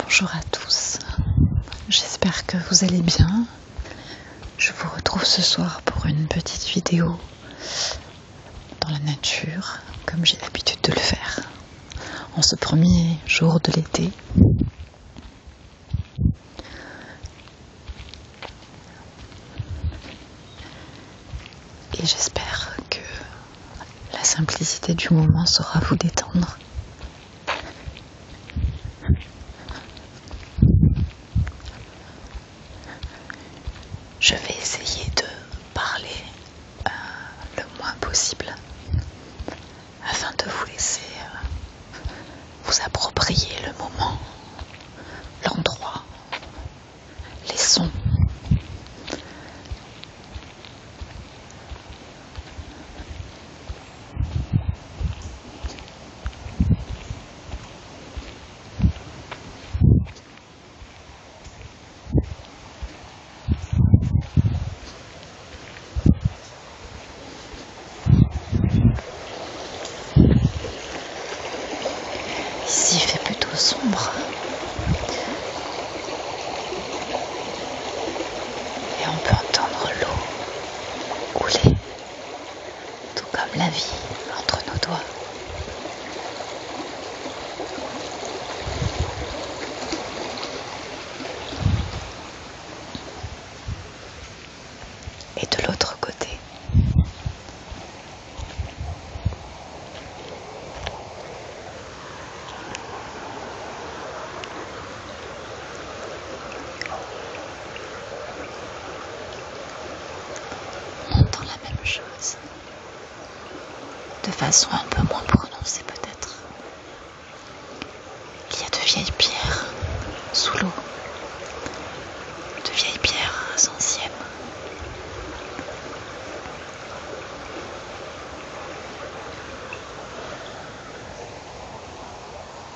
Bonjour à tous, j'espère que vous allez bien. Je vous retrouve ce soir pour une petite vidéo dans la nature, comme j'ai l'habitude de le faire en ce premier jour de l'été. Et j'espère que la simplicité du moment saura vous détendre. Je vais essayer de parler euh, le moins possible afin de vous laisser euh, vous approprier le moment, l'endroit, les sons. Ici, il fait plutôt sombre. Et on peut entendre l'eau couler, tout comme la vie entre nos doigts. Et de l'autre côté, on entend la même chose, de façon un peu moins prononcée peut-être. Il y a de vieilles pierres sous l'eau, de vieilles pierres anciennes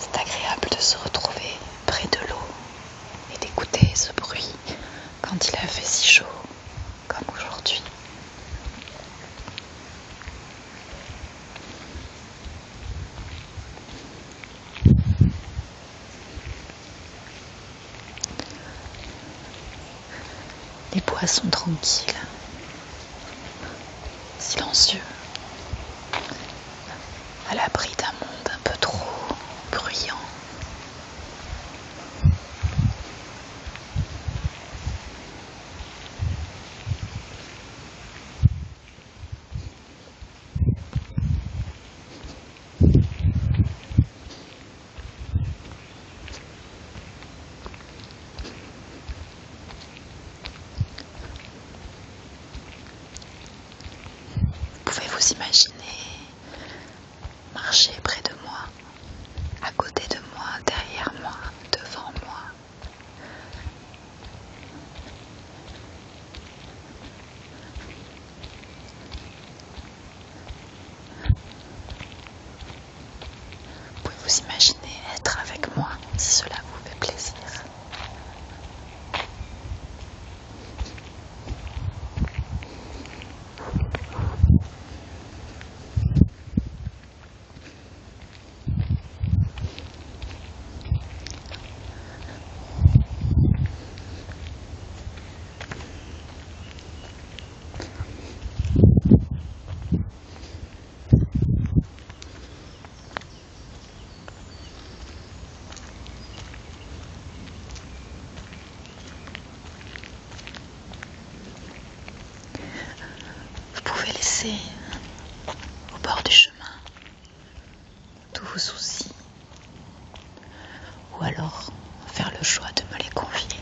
c'est agréable de se retrouver près de l'eau et d'écouter ce bruit quand il a fait si chaud comme aujourd'hui. Les bois sont tranquilles, silencieux, à l'abri d'un monde un peu trop bruyant. Pouvez-vous imaginer marcher près de moi, à côté de moi, derrière moi, devant moi vous pouvez vous imaginer être avec moi si cela vous fait plaisir. Vous pouvez laisser au bord du chemin tous vos soucis. Ou alors faire le choix de me les confier.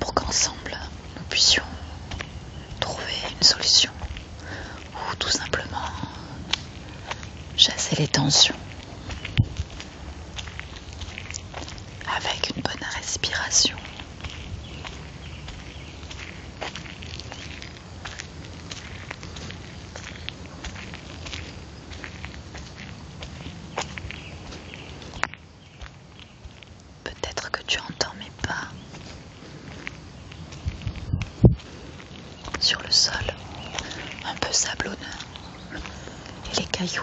Pour qu'ensemble, nous puissions trouver une solution. Ou tout simplement chasser les tensions. Avec une bonne respiration. Peut-être que tu entends mes pas sur le sol, un peu sablonneux, et les cailloux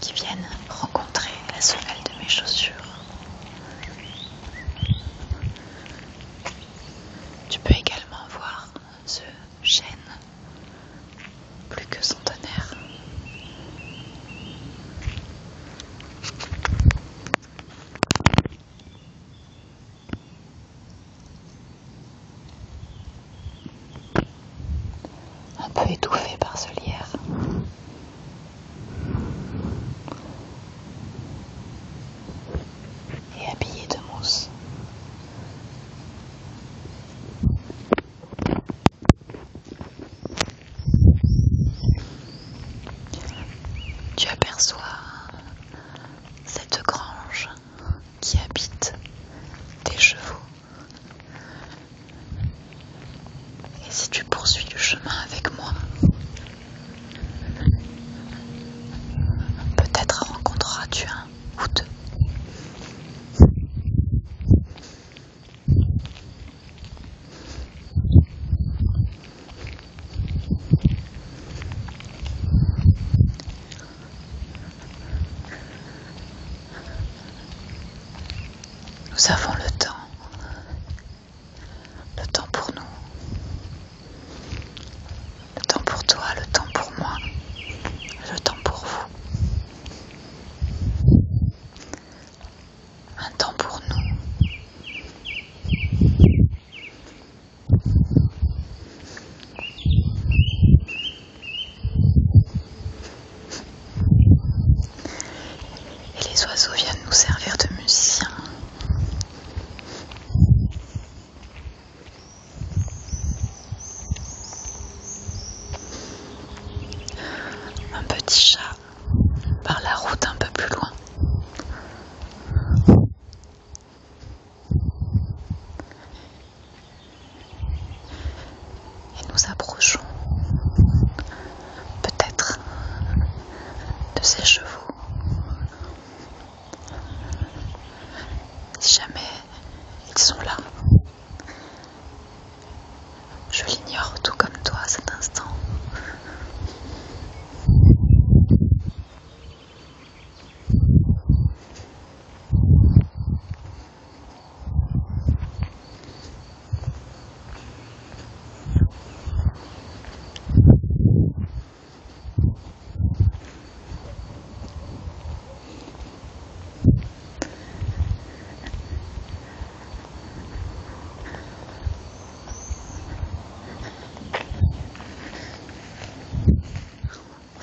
qui viennent rencontrer la semelle de mes chaussures. Tu peux également voir ce chêne, plus que son tonnerre, Un peu étouffé par ce lierre et habillé de mousse. Tu aperçois cette grange qui habite tes chevaux et si tu poursuis le chemin avec moi, peut-être rencontreras-tu un ou deux. Nous avons le temps le temps pour nous, le temps pour toi, le temps pour moi, le temps pour vous. Un temps pour nous. Et les oiseaux viennent nous servir de musiciens. Un petit chat par la route un peu plus loin. Et nous approchons peut-être, de ces chevaux. Si jamais ils sont là, je l'ignore tout comme toi à cet instant. On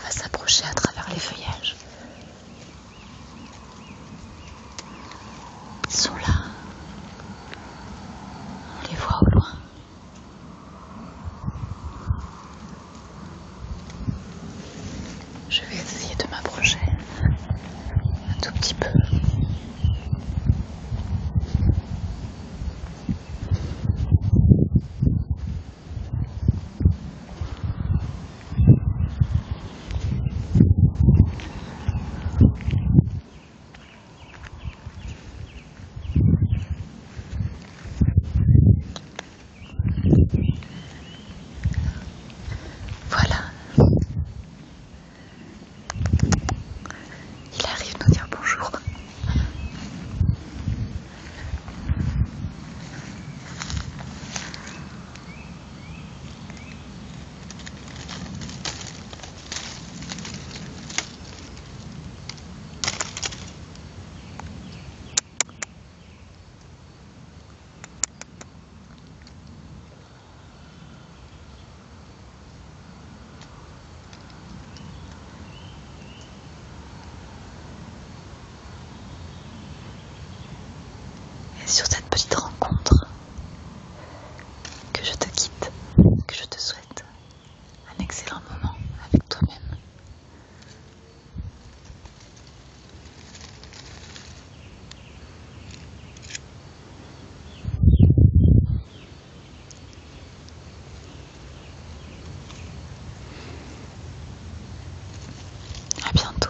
va s'approcher à travers les feuillages. Ils sont là. On les voit au loin. Je vais essayer de m'approcher un tout petit peu. Voilà. Il arrive de nous dire bonjour. Et sur cette petite rencontre, que je te quitte, que je te souhaite un excellent moment avec toi-même. À bientôt.